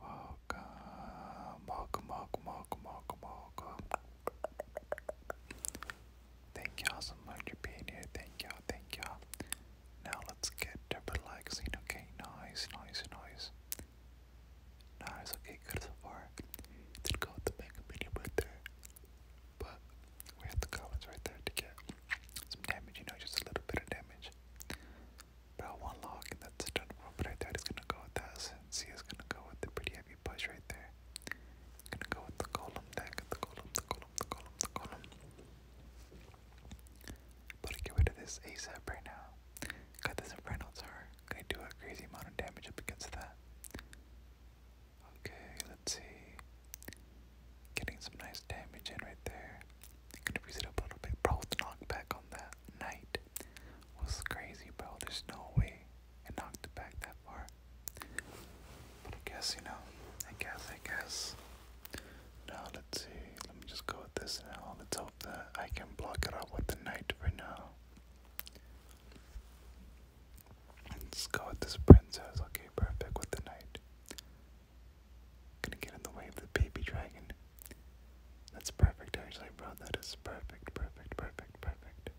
Welcome, welcome, welcome, welcome, welcome, Thank y'all so much for being here. Thank y'all, thank y'all. Now let's get likes, you know? okay? Nice, nice, nice. Nice, okay, good so far. Let's go the mega But we have the columns right there to get some damage, you know, just a little bit of damage. But one lock, and that's done. But I thought he's gonna go with that since he is gonna go with the pretty heavy push right there. gonna go with the golem deck, the golem, the golem, the golem, the golem. But I get rid of this ASAP right now. Got this Inferno Tower. Gonna do a crazy amount of damage up against that. Okay, let's see. Getting some nice damage in right there. Gonna raise it up a little bit. Bro, the knockback on that night was crazy, bro. There's no way it knocked it back that far. But I guess, you know, I guess, I guess. Now, let's see. Let me just go with this now. Let's hope that I can block it out with the knight for now. Let's go with this princess. Okay, perfect with the knight. Gonna get in the way of the baby dragon. That's perfect, actually, bro. That is perfect, perfect, perfect, perfect.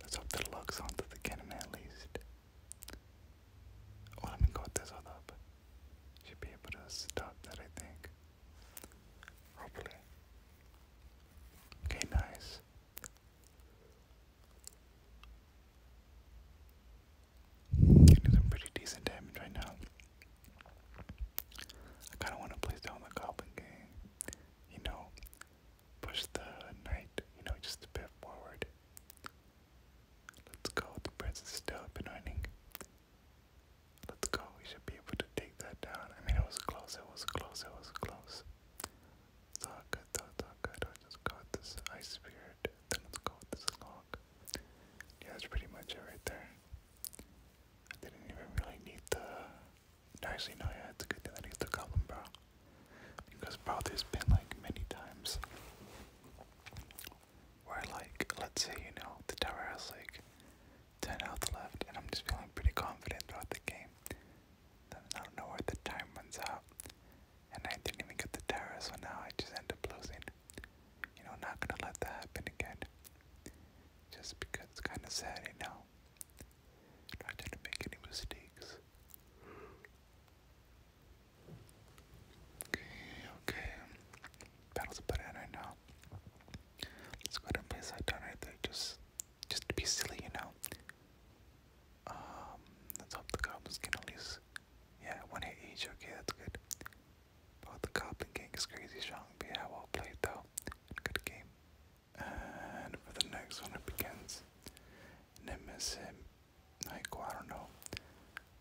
Let's hope the locks onto the cannon at least. Oh, let me go this all up. Should be able to stop that, I think. Hopefully. Okay, nice. Do some pretty decent damage right now. I kind of want to place down the Goblin Gang. You know, push the Knight, you know, just a bit forward. Let's go. The Prince is still up and running. Let's go. We should be able to take that down. I mean, it was close. It was close. It was close. It's all good. It's all good. I'll just go this Ice Spirit. Then let's this Long rock. Yeah, that's pretty much it right there. I didn't even really need the. Actually, no, yeah, it's a good thing I need the Goblin Brow. Because, bro, there's been like many times where, like, let's say, you know, the tower has like 10 health left, and I'm just feeling pretty confident throughout the game. Then I don't know where the time runs out, and I didn't even get the tower, so now I just end up losing you know, not gonna let that happen again. Just because it's kind of sad, you know. Not trying to make any mistakes. Okay, okay. Battle's put in right now. Let's go ahead and place down right there, just, just to be silly, you know. Um, let's hope the goblins can at least, yeah, one hit each. Okay, that's good. But the Goblin King is crazy strong, but yeah, well played though. Good game. And for the next one, it begins Nemesim. I don't know.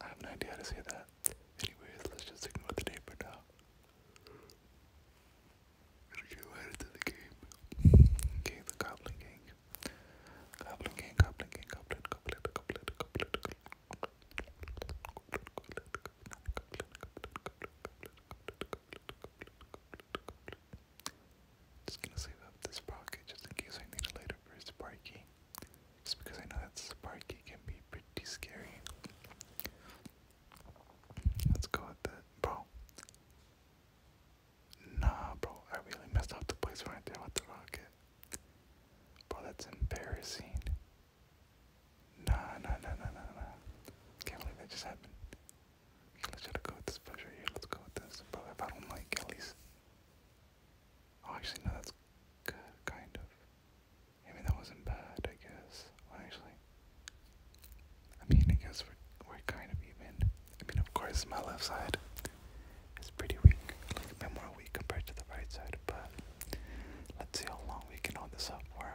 I have no idea how to say that. Anyways, let's just ignore the name for now. Gonna get the game. Okay, the Goblin Gang. Goblin Gang, Goblin Gang, Goblin, Goblin, Goblin, Goblin, Goblin, just gonna save up this pocket just in case I need it later for Sparky. Just because I know that Sparky can be pretty scary. Let's go with that. Bro. Nah, bro. I really messed up the place right there with the rocket. Bro, that's embarrassing. Nah, nah, nah, nah, nah, nah. Can't believe that just happened. let's go with this push here. Let's go with this. Bro, if I don't like at least. Oh, actually, no, that's good, kind of. I mean, that wasn't bad, I guess. Well, actually. I mean, I guess we're, we're kind of even. I mean, of course, my left side it's pretty weak, a bit more weak compared to the right side, but let's see how long we can hold this up for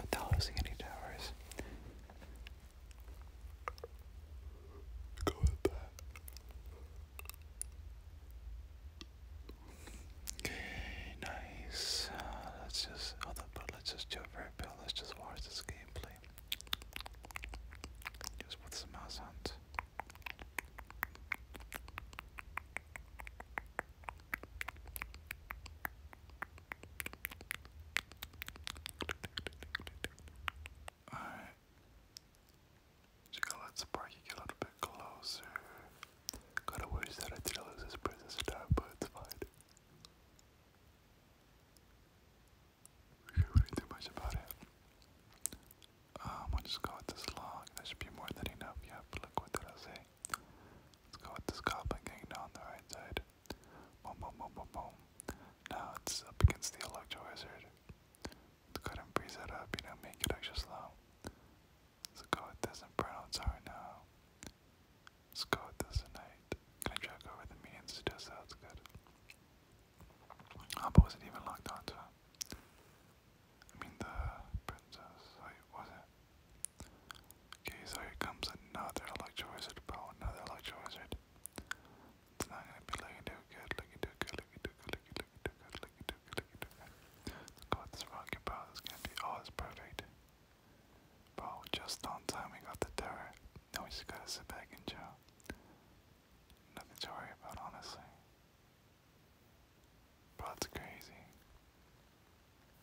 without losing any towers. Okay, nice. Uh, let's just hold but let's just do it for a Let's just watch this gameplay. Just put some mouse on. Alright. Just gotta let Sparky get a little bit closer. Gotta wish that I didn't lose his princess but it's fine. We can't really do much about it. Um, I'll just go with this log. That should be more than enough. Yep, look what did I say. Let's go with this goblin gang down the right side. Boom, boom, boom, boom, boom. Now it's up against the electro wizard. Let's breeze it up, you know, make it extra slow. Let's go with this inferno tower now. Let's go with this tonight. Can I drag over the minions to do good. Oh, was it even like that? I mean, the princess, like, oh, was it? Okay, so here comes another electro wizard, bro. Another electro wizard. It's not gonna be looking good, looking good, looking good, looking good, looking good, looking good. Let's go this rocket, bro. It's gonna be, oh, it's perfect. Bro, just on time we got the terror. Now we just gotta back and chill. Nothing to worry about, honestly. Bro, that's crazy.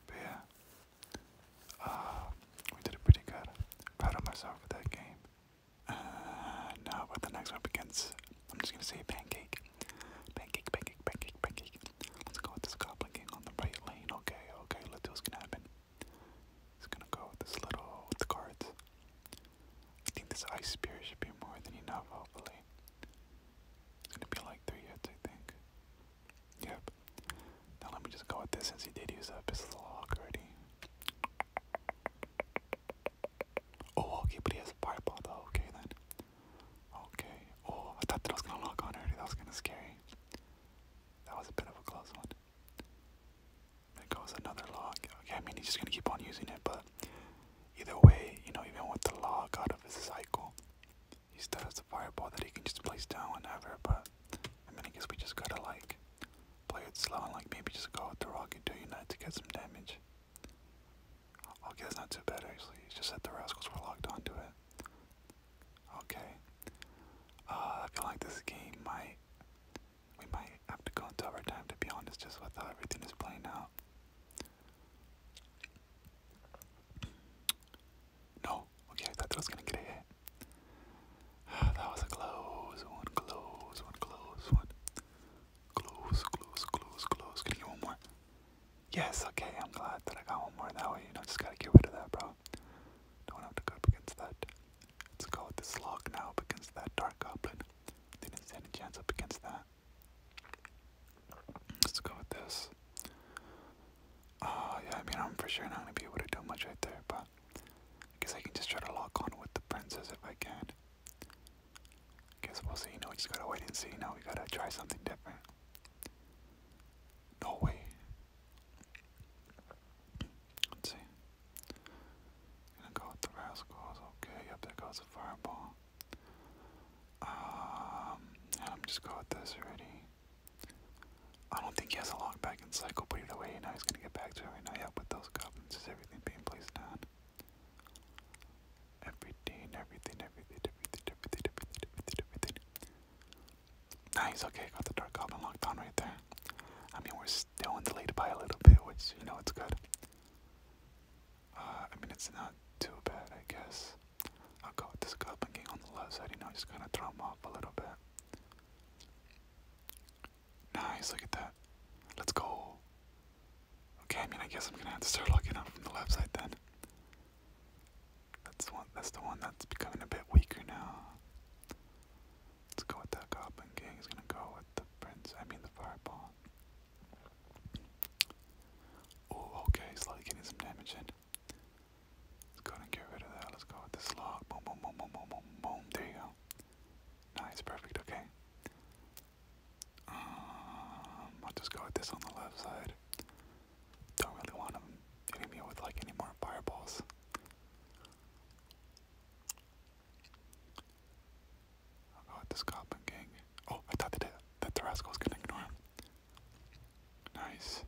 But yeah, uh, we did it pretty good. Proud of myself for that game. Uh, now, what the next one begins, I'm just gonna say pancake. Pancake, pancake, pancake, pancake. Let's go with this goblin king on the right lane. Okay, okay, let's do what's gonna happen. He's gonna go with this little, with the cards. I think this ice spear should be more than enough, hopefully. It's gonna be like three hits, I think. Yep. Now let me just go with this since he did use up his log already. Oh, okay, but he has fireball though. Okay then. Okay. Oh, I thought that was gonna lock on already. That was kind of scary. That was a bit of a close one. There goes another log. Okay, I mean he's just gonna keep on using it, but either way, you know, even with the log out of his cycle, he still has a fireball that he can just place down whenever, but I mean I guess we just gotta like play it slow and like maybe just go with the rocket to unite to get some damage. Okay, that's not too bad actually. It's just that the rascals were locked onto it. Okay. Uh, I feel like this game might we might have to go into overtime to be honest, just with how everything is playing out. No, okay, I thought that was gonna get a that was a close one, close one, close one. Close, close, close, close. Can I one more? Yes, okay, I'm glad that I got one more that way. You know, just gotta get rid of that, bro. Don't have to go against that. Let's go with this lock now against that dark goblin. Didn't stand a chance up against that. Let's go with this. Uh, yeah, I mean, I'm for sure not going to be able to do much right there, but guess I can just try to lock on with the princess if I can. Guess we'll see. You know, we just gotta wait and see. Now we gotta try something different. No way. Let's see. Gonna go with the Rascals. Okay, yep, there goes the fireball. Um, I'm just going with this already. I don't think he has a lock back in cycle, but either way, you he's gonna get back to it right now. Yep, with those goblins, Just everything being placed down? Everything, everything, everything, everything, everything, everything, everything, Nice, okay, got the Dark Goblin locked on right there. I mean, we're still in the lead by a little bit, which, you know, it's good. Uh, I mean, it's not too bad, I guess. I'll go with on the left side, you know, just kind of throw him off a little bit. Nice, look at that. Let's go. Okay, I mean, I guess I'm gonna have to start looking up from the left side then. That's one. That's the one that's becoming a bit weaker now. Let's go with that Goblin King. He's gonna go with the Prince. I mean the Fireball. Oh, okay. Slightly getting some damage in. Let's go and get rid of that. Let's go with the Slog. Boom, boom, boom, boom, boom, boom, boom. There you go. Nice, perfect. Okay. Um, I'll just go with this on the left side. Don't really want him hitting me with like any more fireballs. I'll go with Oh, I thought that, that the rascal was gonna ignore him. Nice.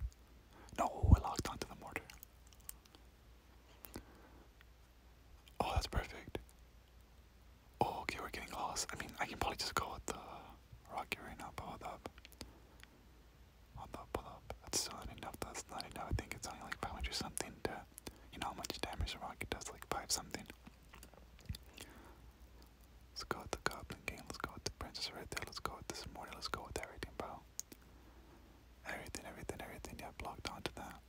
No, I locked onto the mortar. Oh, that's perfect. Oh, okay, we're getting close. I mean, I can probably just go with the rocket right now, but up. Hold up, hold up. That's not enough. That's not enough. I think it's only like 500 something to you know how much damage the rocket does, like five something. Let's go with the Goblin game. let's go with the Princess right there, let's go with this morning. let's go with everything, bro. Everything, everything, everything, yeah, blocked onto that.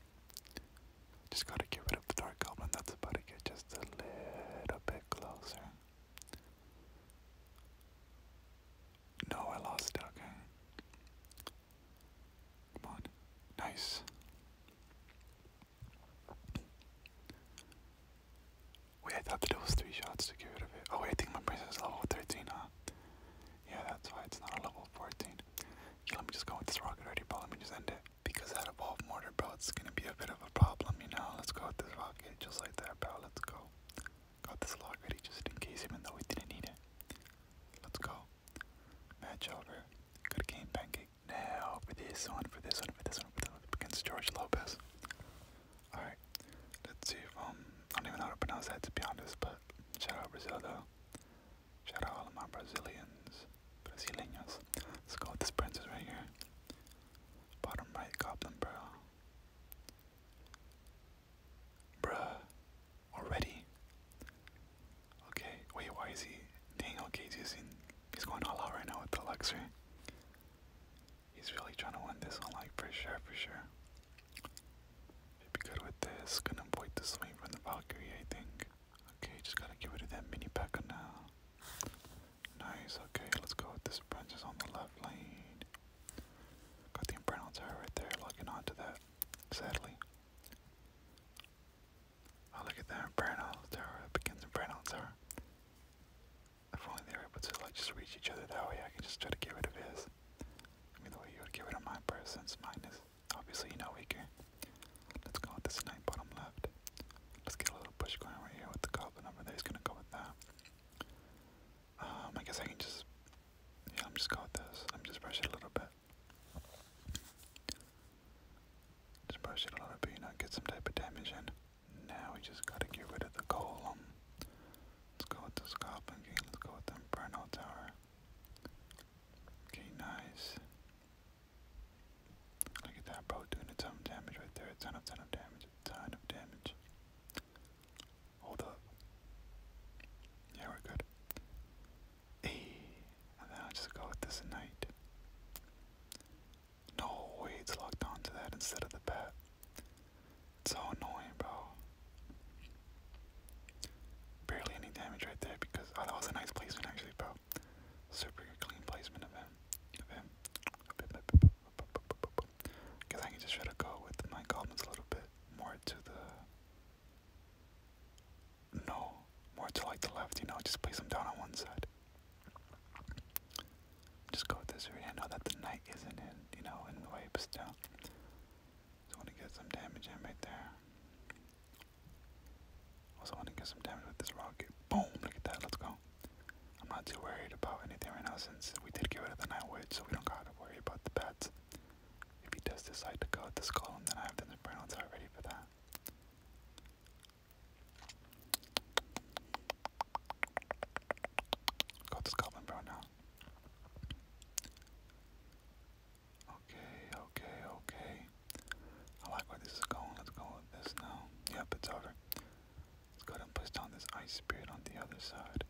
Just gotta get rid of the Dark Goblin, that's about to get just a little bit closer. No, I lost it, okay. Come on. Nice. Wait, I thought that it was three shots to get rid of it. Oh wait, I think my princess is level 13, huh? Yeah, that's why it's not a level 14. Yeah, let me just go with this rocket already, Let me just end it. Because that evolved mortar, bro, it's gonna be a bit of a problem, you know? Let's go with this rocket just like that, bro. Let's go. Got this log ready just in case, even though we didn't need it. Let's go. Match over. Good game, Pancake. Now for this one, for this one, for this one, for this one against George Lopez. All right. Let's see. um, I don't even know how to pronounce that to be honest, but shout out Brazil though. Shout out all of my Brazilians, Brasileños. Let's go with this princess right here. Bottom right goblin, bro. Bruh already. Okay, wait, why is he? Daniel Cage's using. He's going all out right now with the Luxury. He's really trying to win this one, like, for sure, for sure. Should be good with this. Gonna avoid the swing from the Valkyrie, I think. Okay, just gotta get rid of that mini packer now. Nice, okay, let's go with this princess on the left lane. Got the Inferno Tower right there, locking onto that, sadly. Oh, look at that, Brownell Tower. It begins in Brownell Tower. If only they were able to, like, just reach each other that way, I can just try to get rid of his. I mean, the way you would get rid of my person's mine is obviously you know weaker. Let's go with this knight bottom left. Let's get a little push going right here with the goblin over there. He's gonna go with that. Um, I guess I can just, yeah, I'm just go with this. I'm just rush it a little bit. Disperse it a little bit, you know, get some type of damage in. Now we just gotta get rid of the golem. Let's go with the scorpion. let's go with the Inferno Tower. Okay, nice. Look at that bro doing a ton of damage right there, a ton of ton of damage, ton of damage. Hold up. Yeah, we're good. And then i just go with this knight. No way it's locked onto that instead of the bat. It's so annoying, bro. Barely any damage right there because oh, that was a nice placement actually, bro. Super clean placement of him. Of Because I can just try to go with my goblins a little bit more to the no, more to like the left, you know, just place them down on one side. Just go with this area. I know that the knight isn't in, you know, in the still. Just want to get some damage in right there. Also want to get some damage with this rocket. Boom! Look at that. Let's go. I'm not too worried about anything right now since we did get rid of the night witch, so we don't gotta worry about the bats. If he does decide to go at this column, then I have the Browns are ready for that. Go to Scotland Brown now. Okay, okay, okay. I like where this is going. Let's go with this now. Yep, it's over. Let's go and place down this ice spirit on the other side.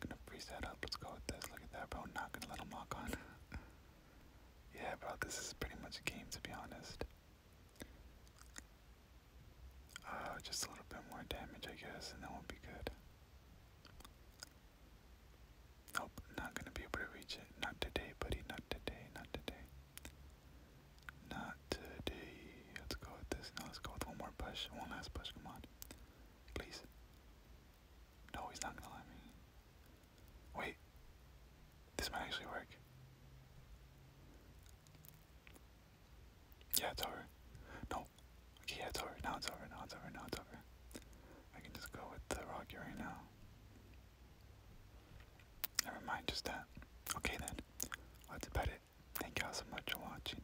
Gonna freeze that up. Let's go with this. Look at that, bro. Not gonna let him on. yeah, bro. This is pretty much a game, to be honest. Uh, just a little bit more damage, I guess, and that will be good. Nope, not gonna be able to reach it. Not today, buddy. Not today. Not today. Not today. Let's go with this. Now let's go with one more push. One last push. Come on. Please. No, he's not gonna let me. Wait. This might actually work. Yeah, it's over. No. Okay, yeah, it's over. Now it's over. Now it's over. Now it's over. I can just go with the Rocky right now. Never mind, just that. Okay then. Let's it. Thank y'all so much for watching.